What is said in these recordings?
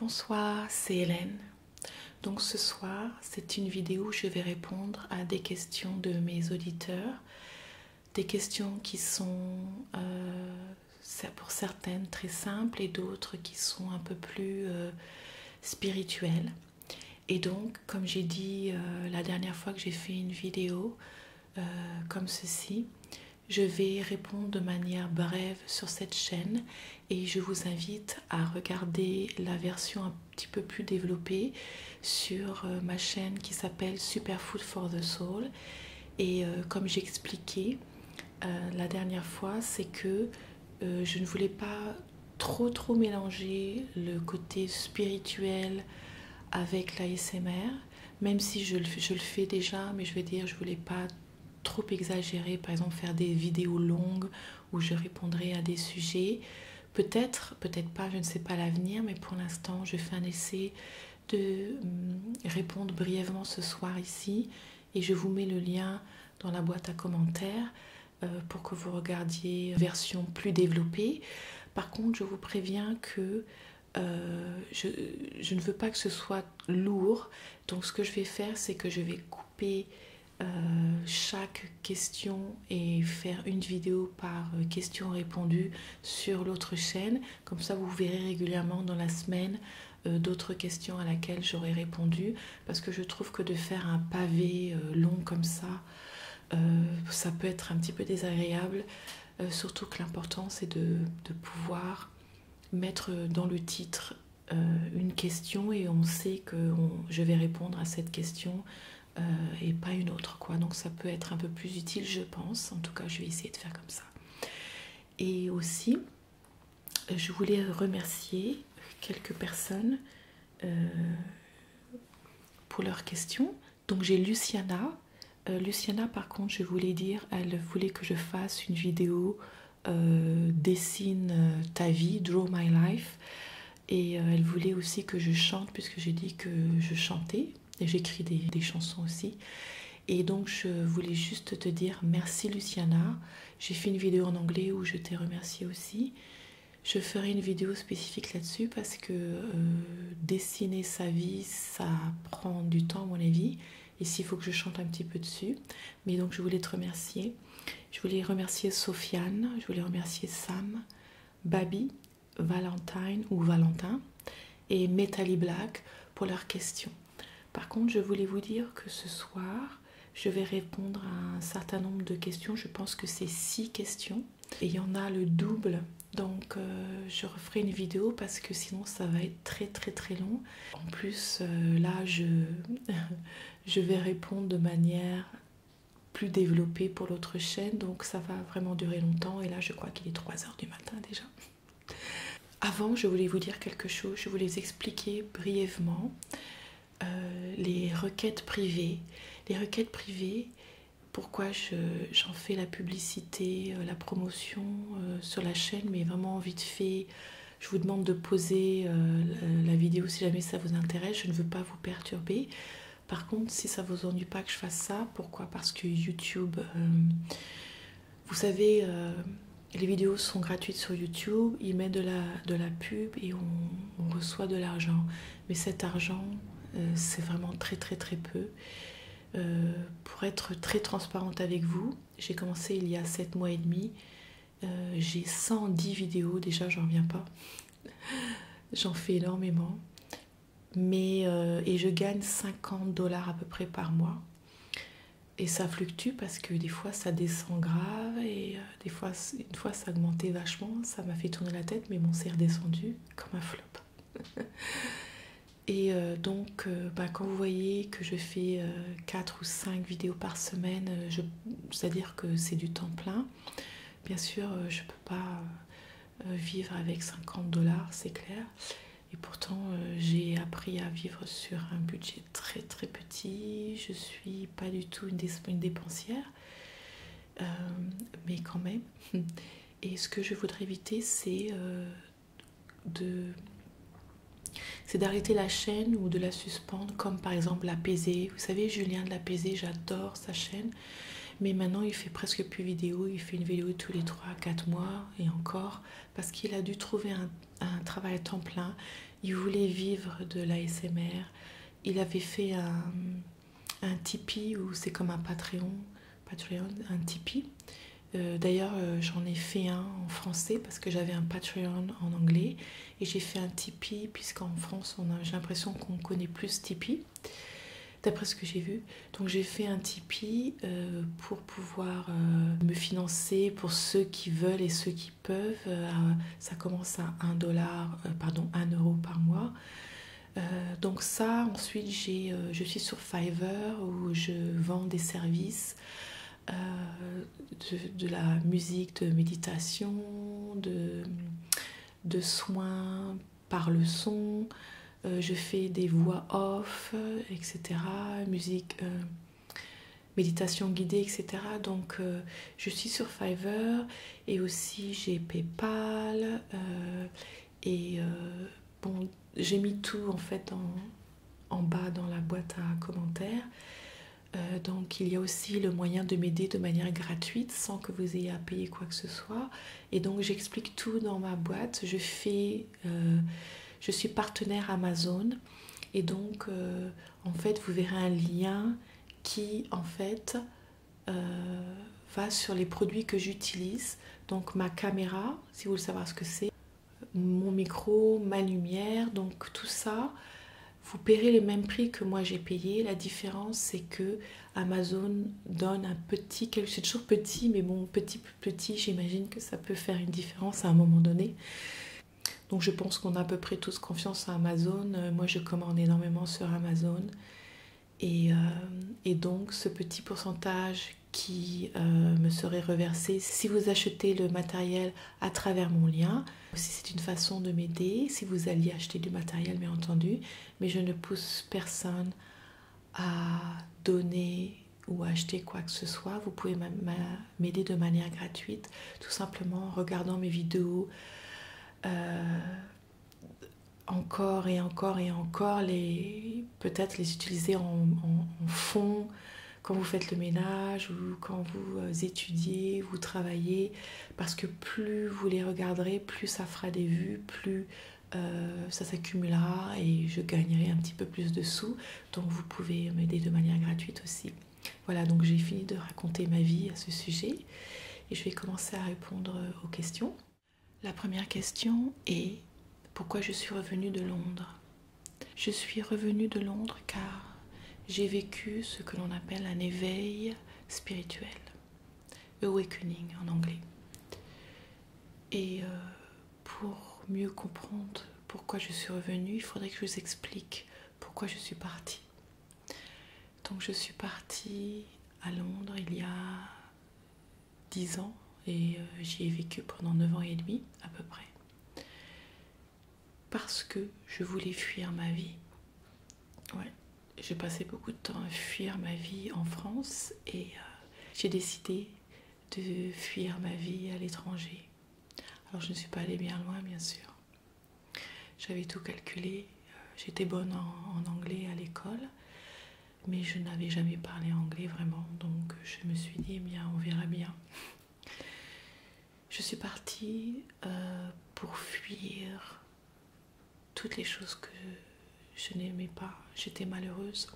Bonsoir, c'est Hélène. Donc ce soir, c'est une vidéo où je vais répondre à des questions de mes auditeurs des questions qui sont euh, pour certaines très simples et d'autres qui sont un peu plus euh, spirituelles. Et donc, comme j'ai dit euh, la dernière fois que j'ai fait une vidéo comme ceci, je vais répondre de manière brève sur cette chaîne et je vous invite à regarder la version un petit peu plus développée sur euh, ma chaîne qui s'appelle Superfood for the Soul. Et euh, comme j'expliquais euh, la dernière fois, c'est que je ne voulais pas trop trop mélanger le côté spirituel avec l'ASMR, même si je le, je le fais déjà, mais je veux dire, je voulais pas trop exagérer, par exemple faire des vidéos longues où je répondrai à des sujets. Peut-être, peut-être pas, je ne sais pas l'avenir, mais pour l'instant, je fais un essai de hum, répondre brièvement ce soir ici et je vous mets le lien dans la boîte à commentaires euh, pour que vous regardiez version plus développée. Par contre, je vous préviens que euh, je, ne veux pas que ce soit lourd. Donc ce que je vais faire, c'est que je vais couper euh, chaque questions et faire une vidéo par euh, question répondue sur l'autre chaîne. Comme ça, vous verrez régulièrement dans la semaine euh, d'autres questions à laquelle j'aurai répondu. Parce que je trouve que de faire un pavé euh, long comme ça, ça peut être un petit peu désagréable. surtout que l'important, c'est de, pouvoir mettre dans le titre une question et on sait que je vais répondre à cette question euh, et pas une autre quoi donc ça peut être un peu plus utile je pense en tout cas je vais essayer de faire comme ça et aussi je voulais remercier quelques personnes euh, pour leurs questions donc j'ai Luciana euh, Luciana par contre je voulais dire elle voulait que je fasse une vidéo dessine ta vie draw my life et euh, elle voulait aussi que je chante, puisque j'ai dit que je chantais, et j'écris des, chansons aussi. Et donc je voulais juste te dire merci Luciana. J'ai fait une vidéo en anglais où je t'ai remercié aussi. Je ferai une vidéo spécifique là-dessus parce que euh, dessiner sa vie, ça prend du temps à mon avis. Ici, il faut que je chante un petit peu dessus. Mais donc je voulais te remercier. Je voulais remercier Sofiane, je voulais remercier Sam, Babi, Valentine ou Valentin et METALY Black pour leurs questions. Par contre, je voulais vous dire que ce soir, je vais répondre à un certain nombre de questions. Je pense que c'est six questions et il y en a le double. Donc, euh, je referai une vidéo parce que sinon, ça va être très très très long. En plus, euh, là, je, je vais répondre de manière plus développé pour l'autre chaîne, donc ça va vraiment durer longtemps. Et là, je crois qu'il est 3h du matin déjà. Avant, je voulais vous dire quelque chose, je voulais expliquer brièvement euh, les requêtes privées. Les requêtes privées, pourquoi j'en fais la publicité, euh, la promotion euh, sur la chaîne, mais vraiment vite fait. Je vous demande de poser la vidéo si jamais ça vous intéresse, je ne veux pas vous perturber. Par contre, si ça vous ennuie pas que je fasse ça, pourquoi Parce que YouTube, euh, vous savez, euh, les vidéos sont gratuites sur YouTube, ils mettent de la, pub et on, reçoit de l'argent. Mais cet argent, euh, c'est vraiment très très très peu. pour être très transparente avec vous, j'ai commencé il y a 7 mois et demi. j'ai 110 vidéos, déjà j'en reviens pas. J'en fais énormément. Mais, euh, et je gagne 50 dollars à peu près par mois. Et ça fluctue parce que des fois ça descend grave et euh, des fois, une fois ça augmentait vachement, ça m'a fait tourner la tête, mais bon, c'est redescendu comme un flop. et euh, donc, bah, quand vous voyez que je fais 4 ou 5 vidéos par semaine, c'est-à-dire que c'est du temps plein, Bien sûr, euh, je ne peux pas euh, euh, vivre avec 50 dollars, c'est clair. Et pourtant, j'ai appris à vivre sur un budget très très petit. Je suis pas du tout une dépensière. mais quand même. Et ce que je voudrais éviter, c'est de c'est d'arrêter la chaîne ou de la, comme par exemple l'apaiser. Vous savez, Julien de l'apaiser, j'adore sa chaîne. Mais maintenant, il fait presque plus vidéo. Il fait une vidéo tous les 3-4 mois et encore. Parce qu'il a dû trouver un, travail à temps plein. Il voulait vivre de l'ASMR. Il avait fait un, un Tipeee ou c'est comme un Patreon. Patreon, un Tipeee. Euh, d'ailleurs, euh, j'en ai fait un en français parce que j'avais un Patreon en anglais et j'ai fait un Tipeee, puisqu'en France, on j'ai l'impression qu'on connaît plus Tipeee, d'après ce que j'ai vu. Donc j'ai fait un Tipeee euh, pour pouvoir euh, me financer pour ceux qui veulent et ceux qui peuvent. Euh, ça commence à 1 dollar, pardon, un euro par mois. donc ça, ensuite, j'ai, je suis sur Fiverr où je vends des services de, la musique de méditation, de, soins par le son, euh, je fais des voix off, etc. Musique, euh, méditation guidée, etc. Donc euh, je suis sur Fiverr et aussi j'ai PayPal et bon j'ai mis tout en fait en bas dans la boîte à commentaires. Euh, donc il y a aussi le moyen de m'aider de manière gratuite sans que vous ayez à payer quoi que ce soit. Et donc j'explique tout dans ma boîte. Je fais, euh, je suis partenaire Amazon et donc euh, en fait vous verrez un lien qui en fait va sur les produits que j'utilise. Donc ma caméra, si vous voulez savoir ce que c'est, mon micro, ma lumière, donc tout ça vous paierez les mêmes prix que moi j'ai payé. La différence, c'est que Amazon donne un petit, c'est toujours petit, mais bon, petit plus petit, j'imagine que ça peut faire une différence à un moment donné. Donc je pense qu'on a à peu près tous confiance à Amazon. Euh, moi, je commande énormément sur Amazon. Et, euh, donc ce petit pourcentage qui euh, me serait reversé si vous achetez le matériel à travers mon lien. Si c'est une façon de m'aider, si vous alliez acheter du matériel, bien entendu, mais je ne pousse personne à donner ou à acheter quoi que ce soit. Vous pouvez m'aider de manière gratuite, tout simplement en regardant mes vidéos. Euh, encore et encore et encore, les peut-être les utiliser en fond quand vous faites le ménage ou quand vous euh, étudiez, vous travaillez, parce que plus vous les regarderez, plus ça fera des vues, plus euh, ça s'accumulera et je gagnerai un petit peu plus de sous. Donc vous pouvez m'aider de manière gratuite aussi. Voilà, donc j'ai fini de raconter ma vie à ce sujet et je vais commencer à répondre euh, aux questions. La première question est pourquoi je suis revenue de Londres je suis revenue de Londres car j'ai vécu ce que l'on appelle un éveil spirituel, awakening en anglais. Et euh, pour mieux comprendre pourquoi je suis revenue, il faudrait que je vous explique pourquoi je suis partie. Donc je suis partie à Londres il y a 10 ans et euh, j'y ai vécu pendant 9 ans et demi à peu près parce que je voulais fuir ma vie. Ouais, j'ai passé beaucoup de temps à fuir ma vie en France et euh, j'ai décidé de fuir ma vie à l'étranger. Alors je ne suis pas allée bien loin, bien sûr. J'avais tout calculé, euh, j'étais bonne en, anglais à l'école, mais je n'avais jamais parlé anglais vraiment, donc je me suis dit, eh bien, on verra bien. Je suis partie euh, pour fuir toutes les choses que je n'aimais pas. J'étais malheureuse,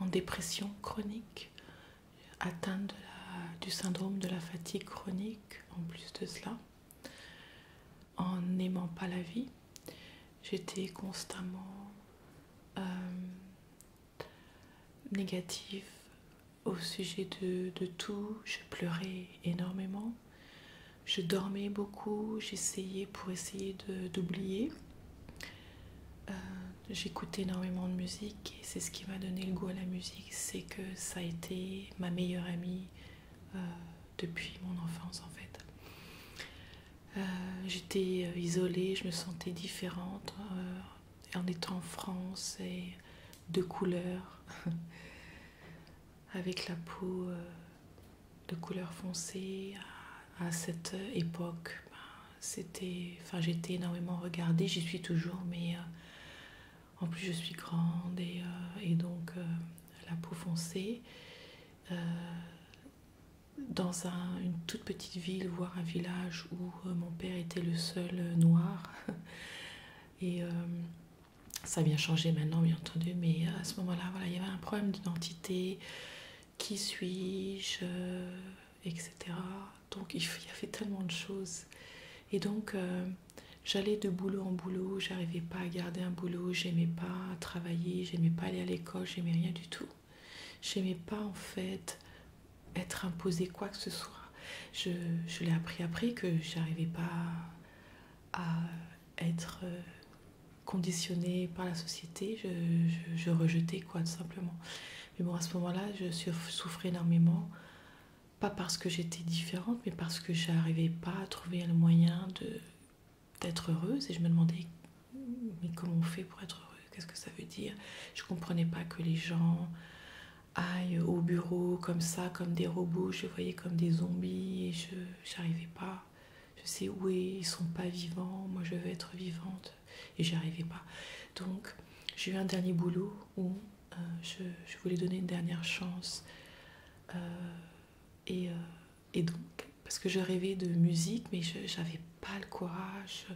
en dépression chronique, atteinte du syndrome de la fatigue chronique, en plus de cela, en n'aimant pas la vie. J'étais constamment euh, négatif au sujet de, tout. Je pleurais énormément. Je dormais beaucoup. J'essayais pour essayer d'oublier. Euh, J'écoutais énormément de musique et c'est ce qui m'a donné le goût à la musique. C'est que ça a été ma meilleure amie euh, depuis mon enfance en fait. Euh, j'étais isolée, je me sentais différente en étant en France, et de couleur, avec la peau euh, de couleur foncée. À cette euh, époque, ben, c'était, enfin, j'étais énormément regardée, j'y suis toujours, mais euh, en plus je suis grande et, donc la peau foncée. dans une toute petite ville, voire un village où euh, mon père était le seul euh, noir. Et euh, ça vient changer maintenant, bien entendu, mais à ce moment-là, il y avait un problème d'identité. Qui suis-je Etc. Donc il y fait tellement de choses. Et donc j'allais de boulot en boulot, j'arrivais pas à garder un boulot, j'aimais pas travailler, j'aimais pas aller à l'école, j'aimais rien du tout. J'aimais pas en fait être imposée quoi que ce soit. Je, l'ai appris après que j'arrivais pas à être euh, conditionnée par la société. Je, rejetais quoi tout simplement. Mais bon à ce moment-là, je souffrais énormément. Pas parce que j'étais différente, mais parce que j'arrivais pas à trouver le moyen de d'être heureuse et je me demandais mais comment on fait pour être heureux Qu'est-ce que ça veut dire Je comprenais pas que les gens aillent au bureau comme ça, comme des robots. Je voyais comme des zombies et je n'arrivais pas. Je sais où ils sont pas vivants. Moi, je veux être vivante et j'arrivais pas. Donc, j'ai eu un dernier boulot où euh, je, voulais donner une dernière chance. Euh, euh, et, donc, parce que je rêvais de musique, mais je n'avais pas le courage.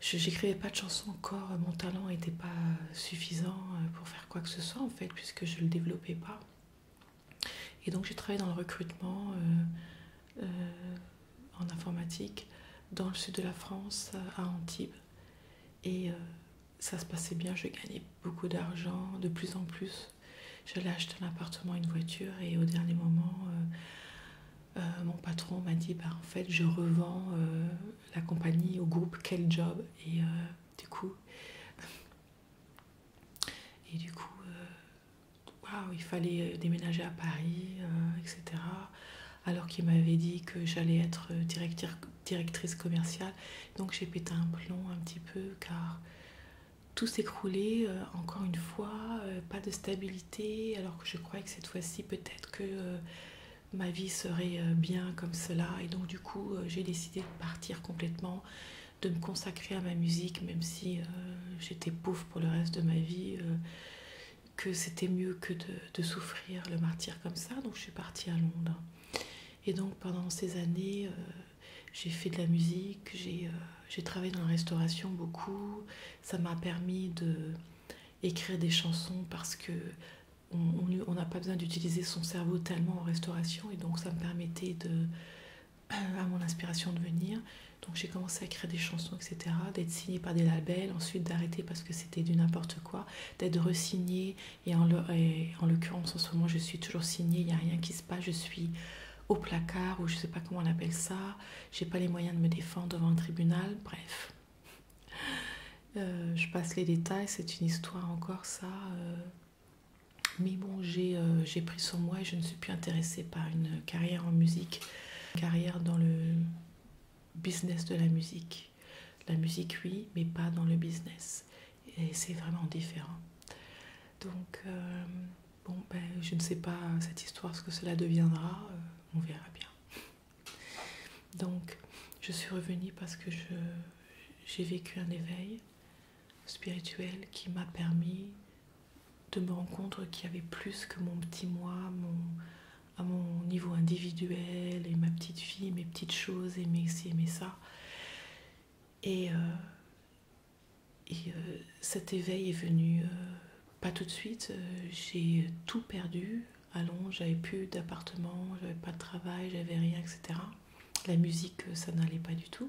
J'écrivais pas de chansons encore, mon talent n'était pas suffisant euh, pour faire quoi que ce soit en fait, puisque je ne le développais pas. Et donc j'ai travaillé dans le recrutement euh, euh, en informatique dans le sud de la France, à Antibes. Et ça se passait bien, je gagnais beaucoup d'argent, de plus en plus. J'allais acheter un appartement, une voiture, et au dernier moment, euh, mon patron m'a dit bah, en fait je revends euh, la compagnie au groupe quel job et euh, du coup et du coup waouh il fallait déménager à Paris etc alors qu'il m'avait dit que j'allais être directrice commerciale donc j'ai pété un plomb un petit peu car tout s'est encore une fois pas de stabilité alors que je croyais que cette fois-ci, peut-être que euh, ma vie serait euh, bien comme cela. Et donc, du coup, euh, j'ai décidé de partir complètement, de me consacrer à ma musique, même si j'étais pauvre pour le reste de ma vie, que c'était mieux que de, souffrir le martyr comme ça. Donc, je suis partie à Londres. Et donc, pendant ces années, j'ai fait de la musique, j'ai travaillé dans la restauration beaucoup, ça m'a permis de écrire des chansons parce que on n'a pas besoin d'utiliser son cerveau tellement en restauration et donc ça me permettait de à mon inspiration de venir donc j'ai commencé à écrire des chansons etc d'être signée par des labels ensuite d'arrêter parce que c'était du n'importe quoi d'être re-signée et en l'occurrence en ce moment je suis toujours signée il n'y a rien qui se passe je suis au placard ou je sais pas comment on appelle ça j'ai pas les moyens de me défendre devant un tribunal, bref. Euh, je passe les détails, c'est une histoire encore ça. Euh. mais bon, euh, j'ai pris sur moi et je ne suis plus intéressée par une carrière en musique, carrière dans le business de la musique. La musique, oui, mais pas dans le business. Et c'est vraiment différent. Donc, euh, bon, ben, je ne sais pas cette histoire, ce que cela deviendra, euh, on verra bien. Donc, je suis revenue parce que j'ai vécu un éveil spirituel qui m'a permis de me rendre compte qu'il y avait plus que mon petit moi, mon, à mon niveau individuel, et ma petite fille, mes petites choses, et mes ci et mes ça. Et, euh, et euh, cet éveil est venu euh, pas tout de suite. Euh, j'ai tout perdu Allons, J'avais plus d'appartement, j'avais pas de travail, j'avais rien, etc. La musique, ça n'allait pas du tout.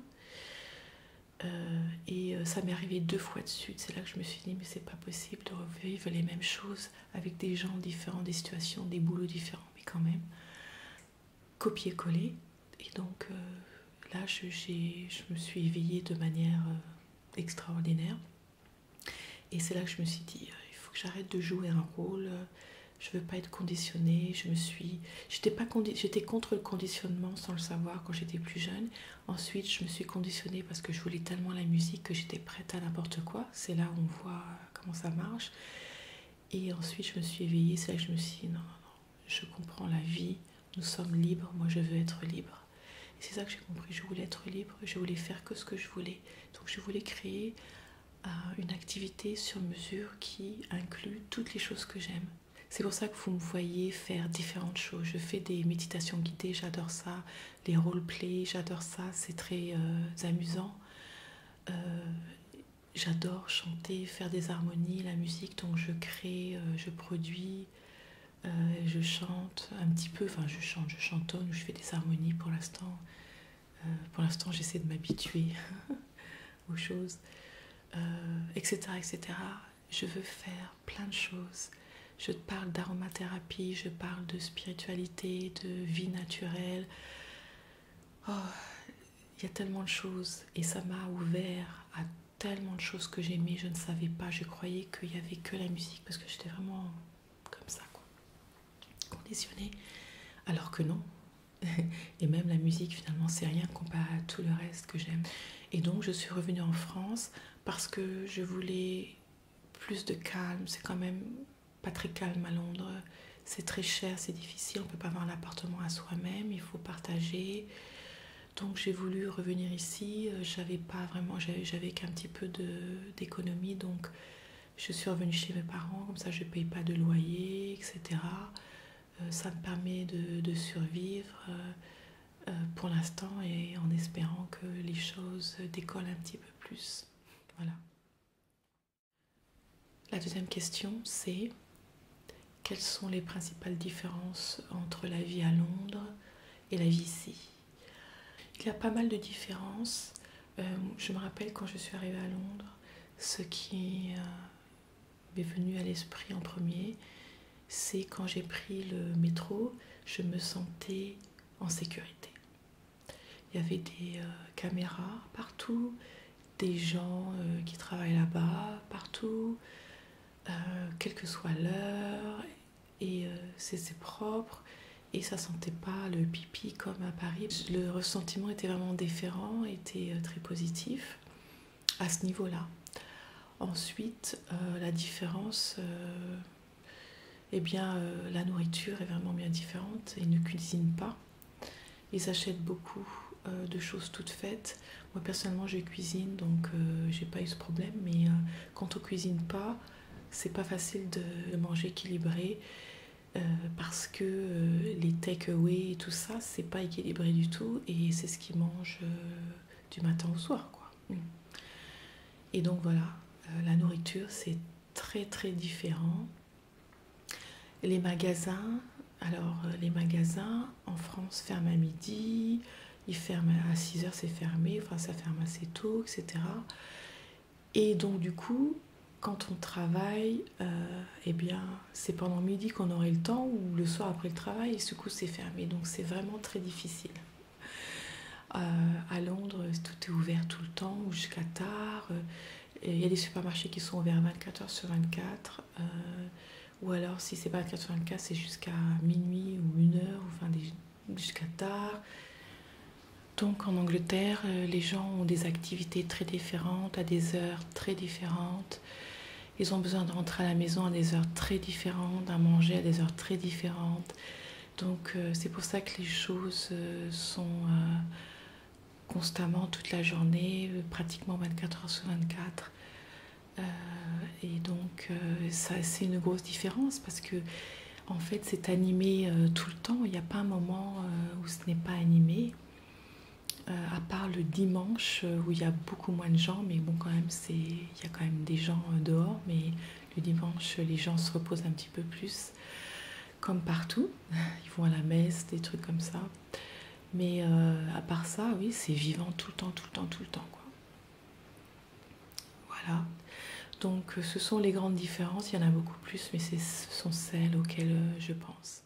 et ça m'est arrivé deux fois de suite. C'est là que je me suis dit, mais c'est pas possible de revivre les mêmes choses avec des gens différents, des situations, des boulots différents, mais quand même, copier-coller et donc euh, là, je, me suis éveillée de manière euh, extraordinaire. Et c'est là que je me suis dit, euh, il faut que j'arrête de jouer un rôle. Je je veux pas être conditionnée. Je me suis, j'étais pas j'étais contre le conditionnement sans le savoir quand j'étais plus jeune. Ensuite, je me suis conditionnée parce que je voulais tellement la musique que j'étais prête à n'importe quoi. C'est là où on voit comment ça marche. Et ensuite, je me suis éveillée. C'est là que je me suis dit, non, non, non, je comprends la vie, nous sommes libres, moi je veux être libre. C'est ça que j'ai compris, je voulais être libre, je voulais faire que ce que je voulais. Donc je voulais créer euh, une activité sur mesure qui inclut toutes les choses que j'aime. C'est pour ça que vous me voyez faire différentes choses. Je fais des méditations guidées, j'adore ça. Les role-play, j'adore ça, c'est très euh, amusant. Euh, j'adore chanter, faire des harmonies, la musique donc je crée, euh, je produis, euh, je chante un petit peu, enfin je chante, je chantonne, je fais des harmonies pour l'instant. Euh, pour l'instant j'essaie de m'habituer aux choses, etc., etc. Je veux faire plein de choses. Je te parle d'aromathérapie, je parle de spiritualité, de vie naturelle. Oh, il y a tellement de choses et ça m'a ouvert à tellement de choses que j'aimais, je ne savais pas, je croyais qu'il n'y avait que la musique parce que j'étais vraiment comme ça, quoi, conditionnée, alors que non. Et même la musique, finalement, c'est rien comparé à tout le reste que j'aime. Et donc, je suis revenue en France parce que je voulais plus de calme. C'est quand même pas très calme à Londres. C'est très cher, c'est difficile. On ne peut pas avoir l'appartement à soi-même. Il faut partager. Donc j'ai voulu revenir ici, euh, j'avais pas vraiment, j'avais qu'un petit peu d'économie, donc je suis revenue chez mes parents, comme ça je ne paye pas de loyer, etc. Euh, ça me permet de, survivre euh, pour l'instant et en espérant que les choses décollent un petit peu plus. Voilà. La deuxième question, c'est quelles sont les principales différences entre la vie à Londres et la vie ici Il y a pas mal de différences. Euh, je me rappelle quand je suis arrivée à Londres, ce qui euh, m'est venu à l'esprit en premier, c'est quand j'ai pris le métro, je me sentais en sécurité. Il y avait des euh, caméras partout, des gens euh, qui travaillent là-bas, partout, euh, quelle que soit l'heure, et euh, c'est propre, et ça sentait pas le pipi comme à Paris. Le ressentiment était vraiment différent, était très positif à ce niveau-là. Ensuite, la différence, eh bien, la nourriture est vraiment bien différente. Ils ne cuisine pas. Ils achètent beaucoup euh, de choses toutes faites. Moi personnellement je cuisine donc euh, j'ai pas eu ce problème mais euh, quand on cuisine pas c'est pas facile de manger équilibré parce que les take away et tout ça c'est pas équilibré du tout et c'est ce qu'ils mangent du matin au soir quoi. Et donc voilà, la nourriture c'est très très différent les magasins, alors euh, les magasins en France ferment à midi, ils ferment à 6 h c'est fermé, enfin ça ferme assez tôt, etc. Et donc du coup, quand on travaille, euh, eh bien c'est pendant midi qu'on aurait le temps ou le soir après le travail, et ce coup c'est fermé, donc c'est vraiment très difficile. Euh, à Londres, tout est ouvert tout le temps, ou jusqu'à tard. Il y a des supermarchés qui sont ouverts 24h sur 24. Euh, ou alors, si c'est pas 24h sur 24, c'est jusqu'à minuit ou une heure ou enfin jusqu'à tard. Donc en Angleterre, euh, les gens ont des activités très différentes, à des heures très différentes. Ils ont besoin de rentrer à la maison à des heures très différentes, à manger à des heures très différentes. Donc euh, c'est pour ça que les choses sont constamment toute la journée, euh, pratiquement 24 heures sur 24. Euh, et donc, euh, ça, c'est une grosse différence parce que, en fait, c'est animé tout le temps. Il n'y a pas un moment où ce n'est pas animé, à part le dimanche où il y a beaucoup moins de gens. Mais bon, quand même, c'est il y a quand même des gens dehors. Mais le dimanche, les gens se reposent un petit peu plus comme partout. Ils vont à la messe, des trucs comme ça. Mais euh, à part ça, oui, c'est vivant tout le temps, tout le temps, tout le temps. Quoi. Voilà. Donc euh, ce sont les grandes différences. Il y en a beaucoup plus, mais ce sont celles auxquelles euh, je pense.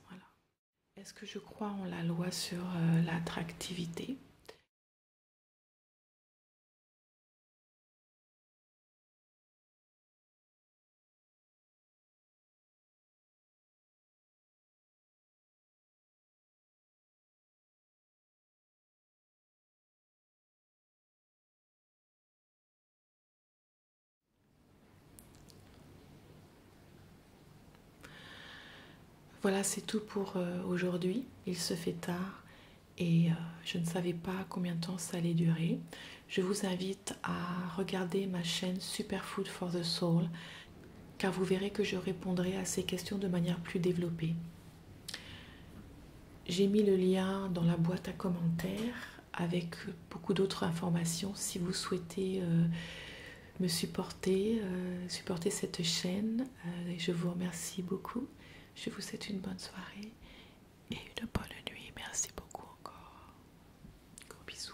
Est-ce que je crois en la loi sur l'attractivité voilà, c'est tout pour euh, aujourd'hui. Il se fait tard et euh, je ne savais pas combien de temps ça allait durer. Je vous invite à regarder ma chaîne Superfood for the Soul car vous verrez que je répondrai à ces questions de manière plus développée. J'ai mis le lien dans la boîte à commentaires avec beaucoup d'autres informations si vous souhaitez euh, me supporter, euh, supporter cette chaîne. Euh, je vous remercie beaucoup. Je vous souhaite une bonne soirée et une bonne nuit. Merci beaucoup encore. Gros bisous.